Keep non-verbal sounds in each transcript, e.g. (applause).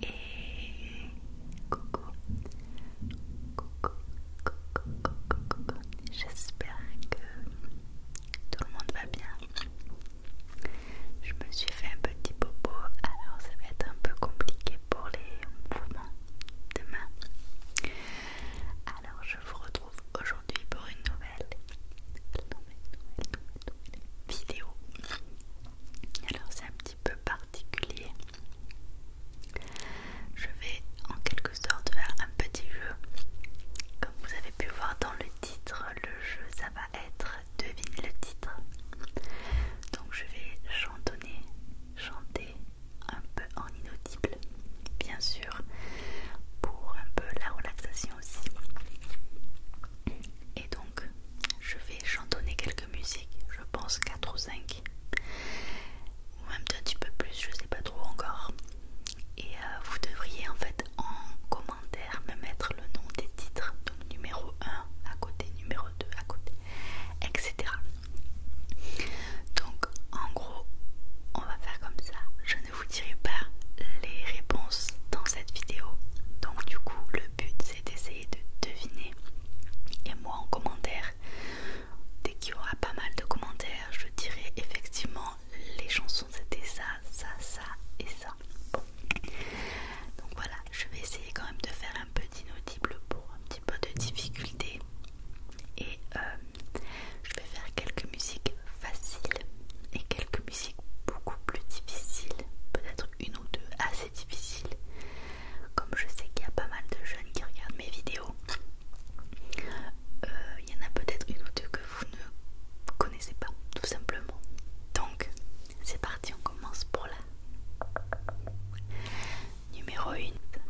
Et coucou, coucou, coucou, coucou, J'espère que tout le monde va bien. Je me suis fait un petit popo, alors ça va être un peu compliqué pour les mouvements demain. Alors je vous retrouve aujourd'hui pour une nouvelle, vidéo. Alors c'est un petit peu particulier. Je vais en quelque sorte faire un petit jeu. Comme vous avez pu voir dans le titre, le jeu ça va être devine le titre. Donc je vais chantonner, chanter un peu en inaudible, bien sûr, pour un peu la relaxation aussi. Et donc, je vais chantonner quelques musiques, je pense 4 ou 5, ou même un petit peu plus, je sais pas trop encore. Et euh, vous devriez en fait en commentaire me mettre le nom des titres, donc numéro 1 à côté, numéro 2 à côté, etc. Donc en gros, on va faire comme ça. Je ne vous dirai pas les réponses dans cette vidéo. Donc du coup, le but c'est d'essayer de deviner. Et moi en commentaire, dès qu'il y aura pas mal de commentaires, je dirai effectivement les chansons c'était ça, ça, ça et ça. Donc voilà, je vais essayer quand même de faire un peu d'inaudible pour un petit peu de difficulté et euh, je vais faire quelques musiques faciles et quelques musiques beaucoup plus difficiles, peut-être une ou deux assez difficiles. Comme je sais qu'il y a pas mal de jeunes qui regardent mes vidéos, euh, il y en a peut-être une ou deux que vous ne connaissez pas, tout simplement. Donc, c'est parti, on commence pour la numéro 1.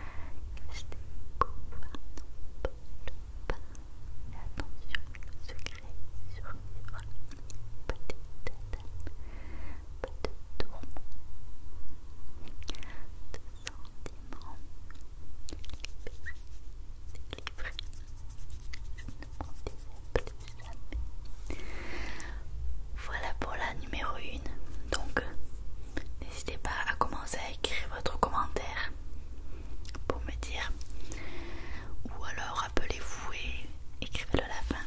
je Achetez pouvoir n'emporte pas attention, le secret survivra. Pas de tata, pas de tourment, de sentiments. Libéré, délivré, je ne m'en disais plus jamais. Voilà pour la numéro 1. Donc, N'hésitez pas à commencer à écrire votre commentaire pour me dire. Ou alors appelez vous et écrivez-le à la fin.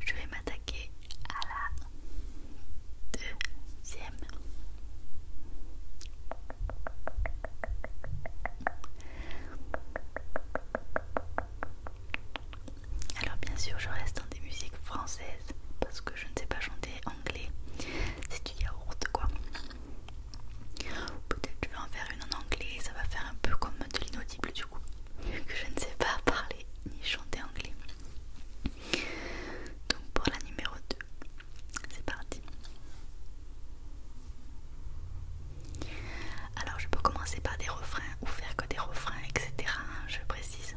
Je vais m'attaquer à la deuxième. Alors bien sûr je reste dans des musiques françaises parce que je ne sais pas chanter anglais. C'est du yaourt quoi. Peut-être je vais en faire une en anglais, ça va faire un peu comme de l'inaudible du coup. que je ne sais pas parler ni chanter anglais. Donc pour la numéro 2, c'est parti. Alors je peux commencer par des refrains ou faire que des refrains, etc. Hein, je précise.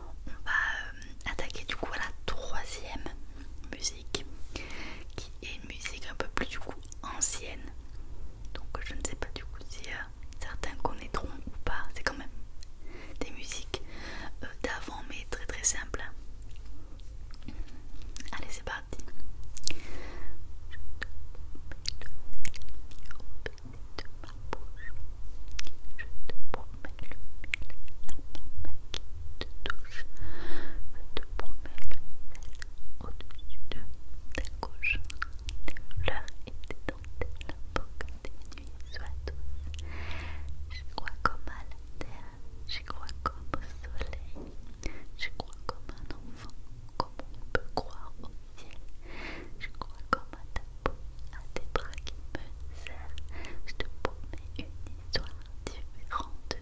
on va euh, attaquer du coup à la troisième musique qui est une musique un peu plus du coup ancienne donc je ne sais pas du coup si euh, certains connaîtront ou pas c'est quand même des musiques euh, d'avant mais très très simples allez c'est parti de ma bouche. Je te promets le miel, la main qui te touche. Je te promets le sel au-dessus de ta couche. Tes fleurs et tes dentelles pour que tes nuits soient douces. J'y crois comme à la terre, j'y crois comme au soleil. J'y crois comme un enfant, comme on peut croire au je crois à ta peau à tes bras qui me serrent Je te promets une histoire différente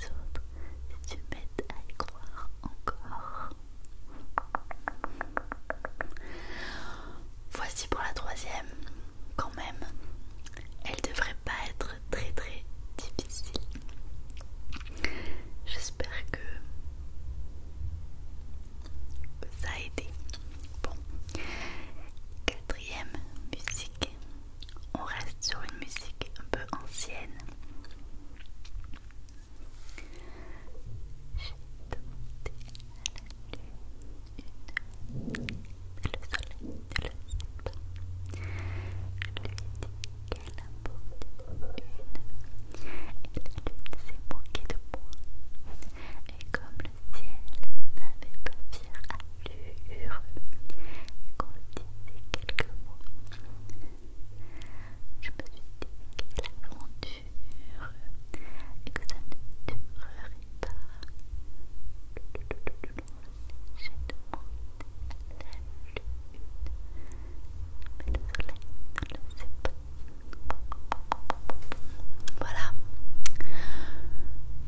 des autres et tu m'aides à y croire encore Voici pour la troisième, quand même Elle devrait pas être très très difficile J'espère que ça a aidé. Bon. Quatrième musique. On reste sur une musique un peu ancienne. J'ai demandé à la lune une... Le soleil ne le sait pas. Je lui ai dit qu'elle apporte une. Et la lune s'est moquée de moi et comme le ciel n'avait pas fière allure et qu'on disait quelques mots, je me suis dit que l'aventure et que ça ne durerait pas. J'ai demandé à la lune, mais le soleil ne le sait pas. Voilà.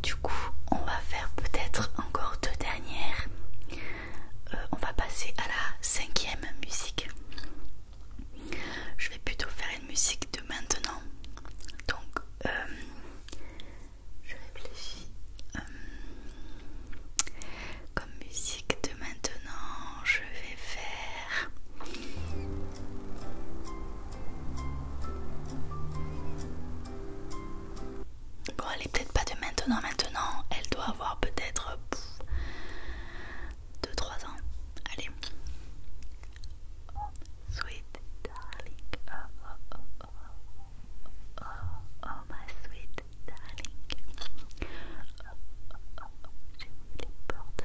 Du coup, on va faire peut-être encore deux dernières. Euh, on va passer à la cinquième musique. Je vais plutôt faire une musique de maintenant. Donc, euh, je réfléchis. Euh, comme musique de maintenant, je vais faire... Bon, elle est peut-être pas de maintenant, maintenant. Elle doit avoir peut-être 2-3 ans. Allez. Oh, sweet darling. Oh, oh, oh, oh. Oh, ma sweet darling. J'ai mis les portes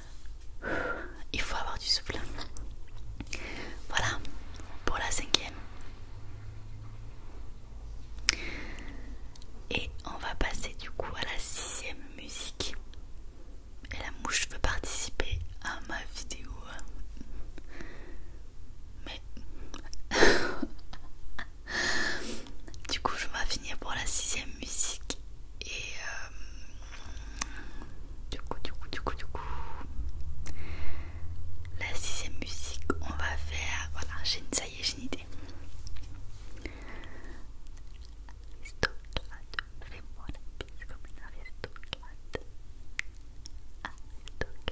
(sighs) Il faut avoir du souffle. Voilà pour la cinquième. Et on va passer du coup à la sixième musique. Et la mouche veut participer à ma vidéo. Mais... (laughs) du coup, je vais finir pour la sixième musique. Et euh, du coup, du coup, du coup, du coup, la sixième musique, on va faire. Voilà, une, ça y est, j'ai une idée. Aristocrate, fais-moi la bise comme une aristocrate. Aristocrate,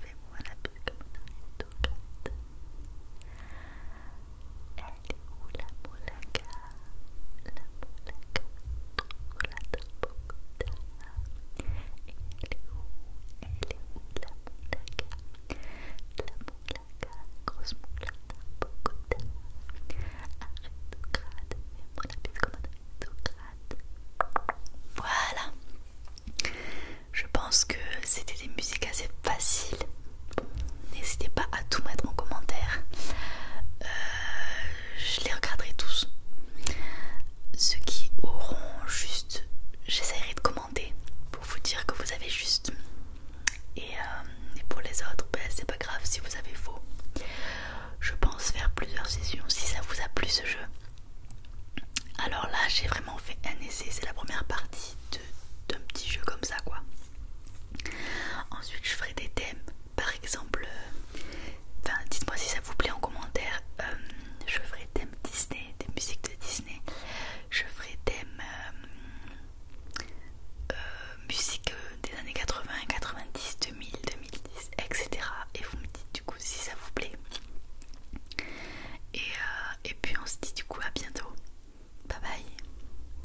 fais-moi la bise comme une aristocrate. Elle est où la moulaga La Molaga trouve la Bogota Elle est où Elle est où la moulaga La Molaga, grosse moulada Bogota Aristocrate, fais-moi la bise comme un grade Voilà Je pense que c'était des musiques assez faciles N'hésitez pas à tout mettre en commentaire. Euh, je les regarderai tous. Ceux qui auront juste... J'essaierai de commenter pour vous dire que vous avez juste. Et, euh, pour les autres, ben, c'est pas grave si vous avez faux. Je pense faire plusieurs sessions si ça vous a plu ce jeu. Alors là, j'ai vraiment fait un essai. C'est la première partie d'un petit jeu comme ça, quoi. Ensuite, je ferai des thèmes, par exemple, euh, dites-moi si ça vous plaît en commentaire. Euh, je ferai thèmes Disney, des musiques de Disney. Je ferai thème euh, musique des années 80, 90, 2000, 2010, etc. Et vous me dites du coup si ça vous plaît. Et, et puis on se dit du coup à bientôt. Bye bye.